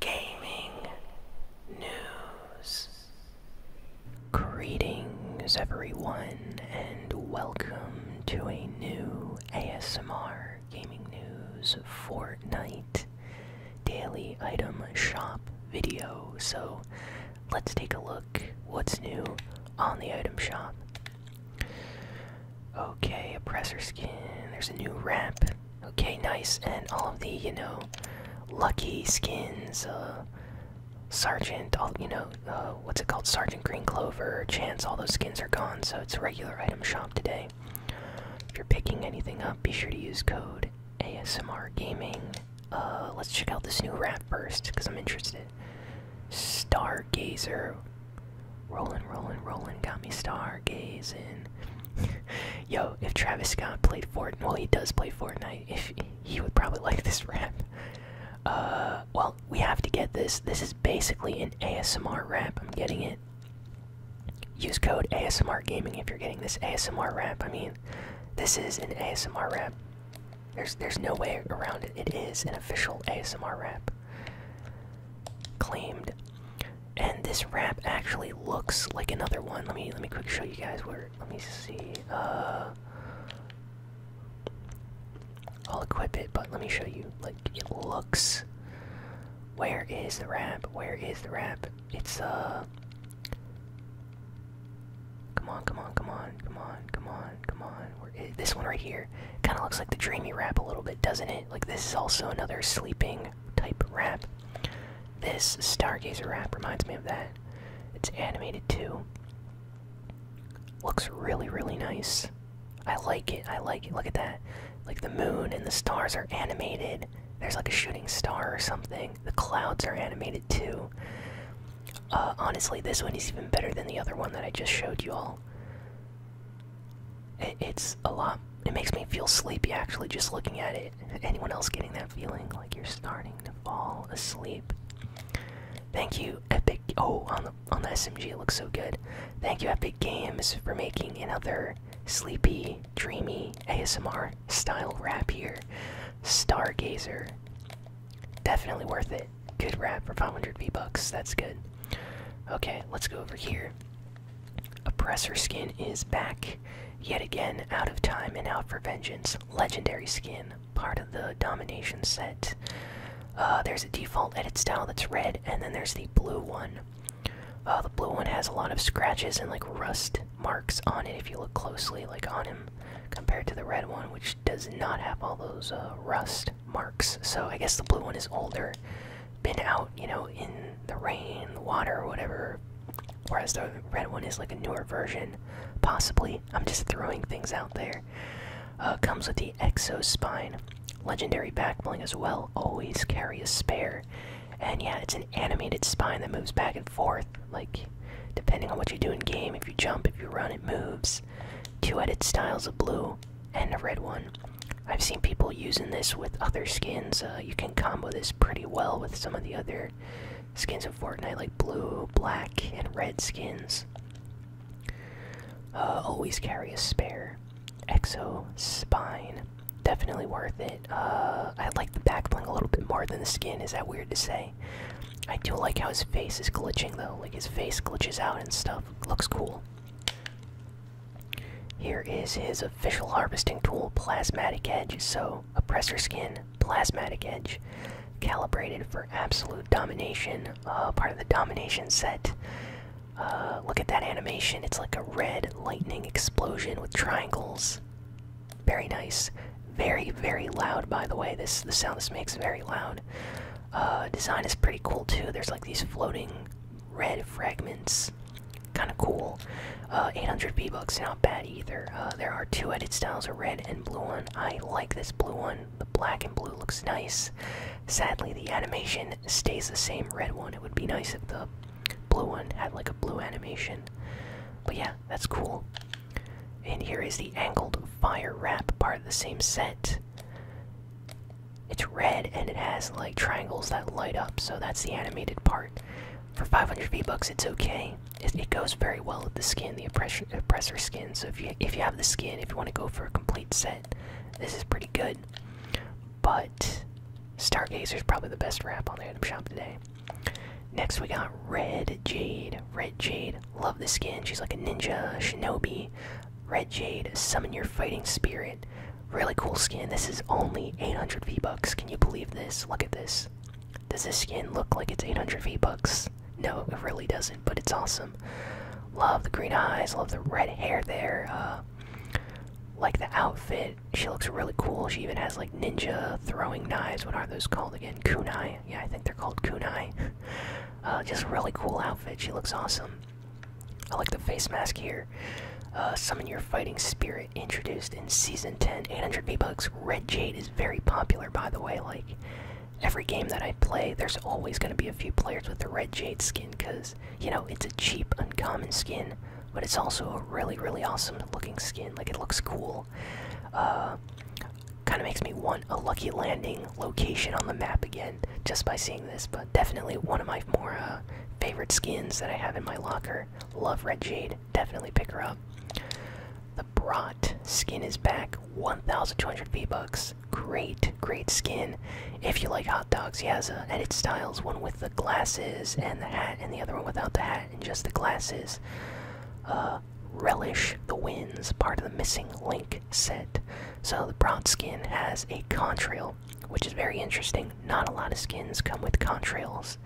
gaming news. Greetings, everyone, and welcome to a new ASMR Gaming News Fortnite Daily Item Shop video. So, let's take a look what's new on the item shop. Okay, oppressor skin, there's a new ramp. Okay, nice. And all of the, you know, lucky skins, uh, Sergeant, all, you know, uh, what's it called? Sergeant Green Clover, Chance, all those skins are gone, so it's a regular item shop today. If you're picking anything up, be sure to use code ASMR Gaming. Uh, let's check out this new rap first, because I'm interested. Stargazer. rolling, rolling, rolling, got me star stargazing. Yo, if Travis Scott played Fortnite, well, he does play Fortnite. If he would probably like this rap. Uh, well, we have to get this. This is basically an ASMR rap. I'm getting it. Use code ASMR Gaming if you're getting this ASMR rap. I mean, this is an ASMR rap. There's there's no way around it. It is an official ASMR rap. Claimed and this wrap actually looks like another one. Let me let me quick show you guys where. Let me see. Uh, I'll equip it, but let me show you. Like it looks. Where is the wrap? Where is the wrap? It's uh. Come on, come on, come on, come on, come on, come on. this one right here kind of looks like the dreamy wrap a little bit, doesn't it? Like this is also another sleeping type rap. This Stargazer rap reminds me of that. It's animated too. Looks really, really nice. I like it. I like it. Look at that. Like the moon and the stars are animated. There's like a shooting star or something. The clouds are animated too. Uh, honestly, this one is even better than the other one that I just showed you all. It, it's a lot. It makes me feel sleepy actually just looking at it. Anyone else getting that feeling like you're starting to fall asleep? Thank you, Epic. Oh, on the on the SMG, it looks so good. Thank you, Epic Games, for making another sleepy, dreamy ASMR style rap here. Stargazer, definitely worth it. Good rap for 500 V bucks. That's good. Okay, let's go over here. Oppressor skin is back yet again, out of time and out for vengeance. Legendary skin, part of the domination set. Uh, there's a default edit style that's red, and then there's the blue one. Uh, the blue one has a lot of scratches and like rust marks on it if you look closely, like on him, compared to the red one, which does not have all those uh, rust marks. So I guess the blue one is older, been out, you know, in the rain, the water, or whatever. Whereas the red one is like a newer version, possibly. I'm just throwing things out there. Uh, comes with the Exospine. Legendary backbling as well. Always carry a spare. And yeah, it's an animated spine that moves back and forth. Like, depending on what you do in game, if you jump, if you run, it moves. Two edit styles of blue and a red one. I've seen people using this with other skins. Uh, you can combo this pretty well with some of the other skins of Fortnite, like blue, black, and red skins. Uh, always carry a spare. Exo Spine. Definitely worth it. Uh, I like the back bling a little bit more than the skin. Is that weird to say? I do like how his face is glitching though. Like his face glitches out and stuff. Looks cool. Here is his official harvesting tool, Plasmatic Edge. So, Oppressor Skin, Plasmatic Edge. Calibrated for absolute domination, uh, part of the domination set. Uh, look at that animation. It's like a red lightning explosion with triangles. Very nice. Very, very loud, by the way. This The sound this makes very loud. Uh, design is pretty cool, too. There's like these floating red fragments. Kind of cool. Uh, 800 B bucks, not bad either. Uh, there are two edit styles, a red and blue one. I like this blue one. The black and blue looks nice. Sadly, the animation stays the same. Red one. It would be nice if the blue one had like a blue animation. But yeah, that's cool. And here is the angled fire wrap, part of the same set. It's red and it has like triangles that light up, so that's the animated part. For 500 V bucks, it's okay. It, goes very well with the skin, the oppressor, skin. So if you if you have the skin, if you want to go for a complete set, this is pretty good. But Stargazer is probably the best wrap on the item shop today. Next, we got Red Jade. Red Jade, love the skin. She's like a ninja shinobi. Red Jade, summon your fighting spirit. Really cool skin. This is only 800 V-Bucks. Can you believe this? Look at this. Does this skin look like it's 800 V-Bucks? No, it really doesn't, but it's awesome. Love the green eyes, love the red hair there. Uh, like the outfit. She looks really cool. She even has like ninja throwing knives. What are those called again? Kunai. Yeah, I think they're called kunai. Uh, just really cool outfit. She looks awesome. I like the face mask here. Uh, summon your fighting spirit introduced in season 10, 800 V-Bucks. Red Jade is very popular, by the way. Like, every game that I play, there's always going to be a few players with the Red Jade skin because, you know, it's a cheap, uncommon skin, but it's also a really, really awesome looking skin. Like, it looks cool. Uh, kind of makes me want a lucky landing location on the map again just by seeing this, but definitely one of my more uh, favorite skins that I have in my locker. Love Red Jade. Definitely pick her up. The Brat skin is back. 1,200 V-Bucks. Great, great skin. If you like hot dogs, he has a uh, edit styles. One with the glasses and the hat, and the other one without the hat and just the glasses. Uh, relish the winds. part of the missing link set. So the bronze skin has a contrail, which is very interesting. Not a lot of skins come with contrails.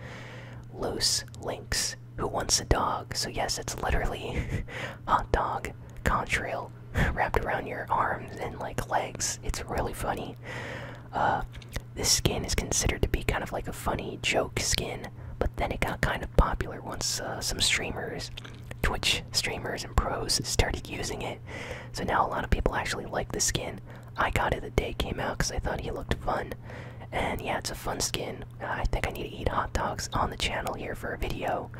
Loose links. who wants a dog. So yes, it's literally hot dog contrail wrapped around your arms and like legs. It's really funny. Uh, this skin is considered to be kind of like a funny joke skin, but then it got kind of popular once uh, some streamers Twitch streamers and pros started using it. So now a lot of people actually like the skin. I got it the day it came out because I thought he looked fun. And yeah, it's a fun skin. I think I need to eat hot dogs on the channel here for a video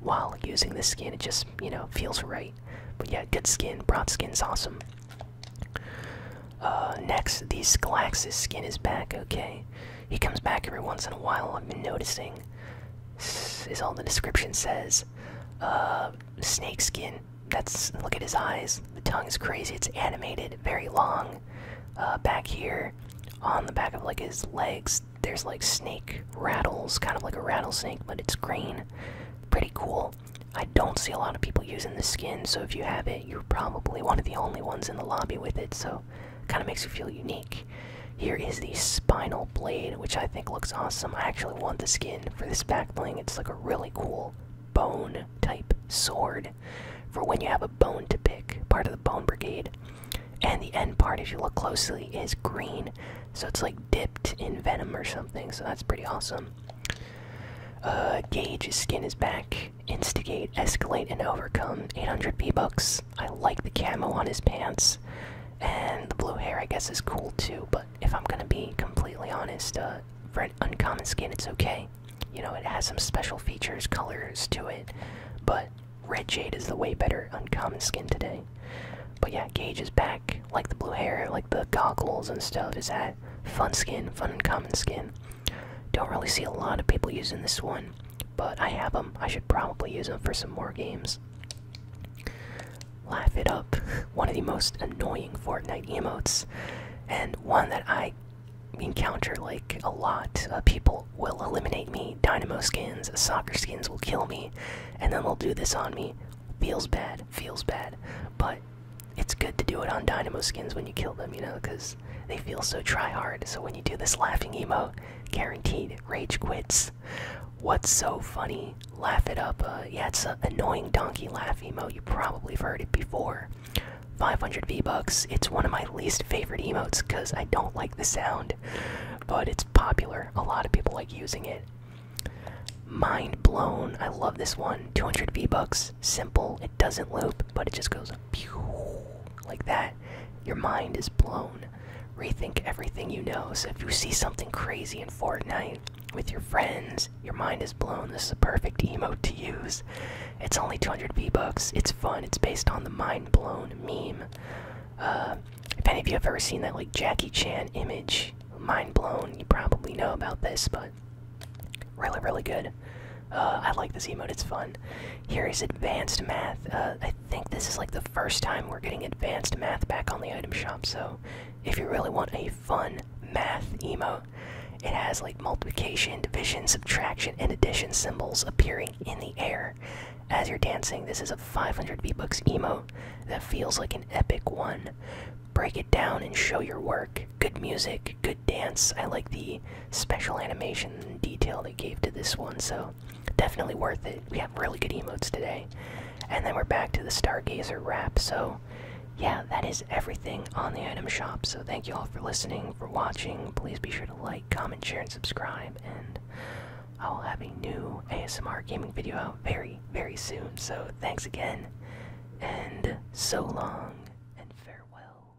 while using this skin. It just, you know, feels right. But yeah, good skin. Broad skin's awesome. Uh, next, the Scalaxis skin is back, okay? He comes back every once in a while, I've been noticing is all the description says. Uh, snake skin. That's look at his eyes. The tongue is crazy. It's animated, very long. Uh, back here, on the back of like his legs, there's like snake rattles, kind of like a rattlesnake, but it's green. Pretty cool. I don't see a lot of people using this skin, so if you have it, you're probably one of the only ones in the lobby with it. So kind of makes you feel unique. Here is the spinal blade, which I think looks awesome. I actually want the skin for this back bling. It's like a really cool bone type sword for when you have a bone to pick, part of the bone brigade. And the end part, if you look closely, is green. So it's like dipped in venom or something, so that's pretty awesome. Uh, Gage's skin is back. Instigate, escalate, and overcome. 800 p books. I like the camo on his pants, and the blue hair I guess is cool too. But if I'm gonna be completely honest, uh, for an uncommon skin, it's okay. You know, it has some special features, colors to it, but Red Jade is the way better uncommon skin today. But yeah, Gage is back. Like the blue hair, like the goggles and stuff. Is that fun skin, fun uncommon skin? Don't really see a lot of people using this one. But I have them. I should probably use them for some more games. Laugh it up. One of the most annoying Fortnite emotes, and one that I encounter like a lot. Uh, people will eliminate me. Dynamo skins, soccer skins will kill me, and then they'll do this on me. Feels bad. Feels bad. But it's good to do it on Dynamo skins when you kill them, you know, because they feel so try hard. So when you do this laughing emo, guaranteed rage quits. What's so funny? Laugh it up. Uh, yeah, it's an annoying donkey laugh emo. You probably have heard it before. 500 V-Bucks. It's one of my least favorite emotes because I don't like the sound, but it's popular. A lot of people like using it. Mind blown. I love this one. 200 V-Bucks. Simple. It doesn't loop, but it just goes pew, like that, your mind is blown. Rethink everything you know. So if you see something crazy in Fortnite with your friends, your mind is blown. This is a perfect emote to use. It's only 200 V-Bucks. It's fun. It's based on the mind blown meme. Uh, if any of you have ever seen that like Jackie Chan image, mind blown, you probably know about this, but really, really good. Uh, I like this emote, it's fun. Here is advanced math. Uh, I think this is like the first time we're getting advanced math back on the item shop, so if you really want a fun math emo, it has like multiplication, division, subtraction, and addition symbols appearing in the air as you're dancing. This is a 500 V-Bucks emo that feels like an epic one. Break it down and show your work. Good music, good dance. I like the special animation and detail they gave to this one, so definitely worth it. We have really good emotes today. And then we're back to the Stargazer wrap, so yeah, that is everything on the item shop. So thank you all for listening, for watching. Please be sure to like, comment, share, and subscribe, and I will have a new ASMR gaming video out very, very soon. So thanks again, and so long, and farewell.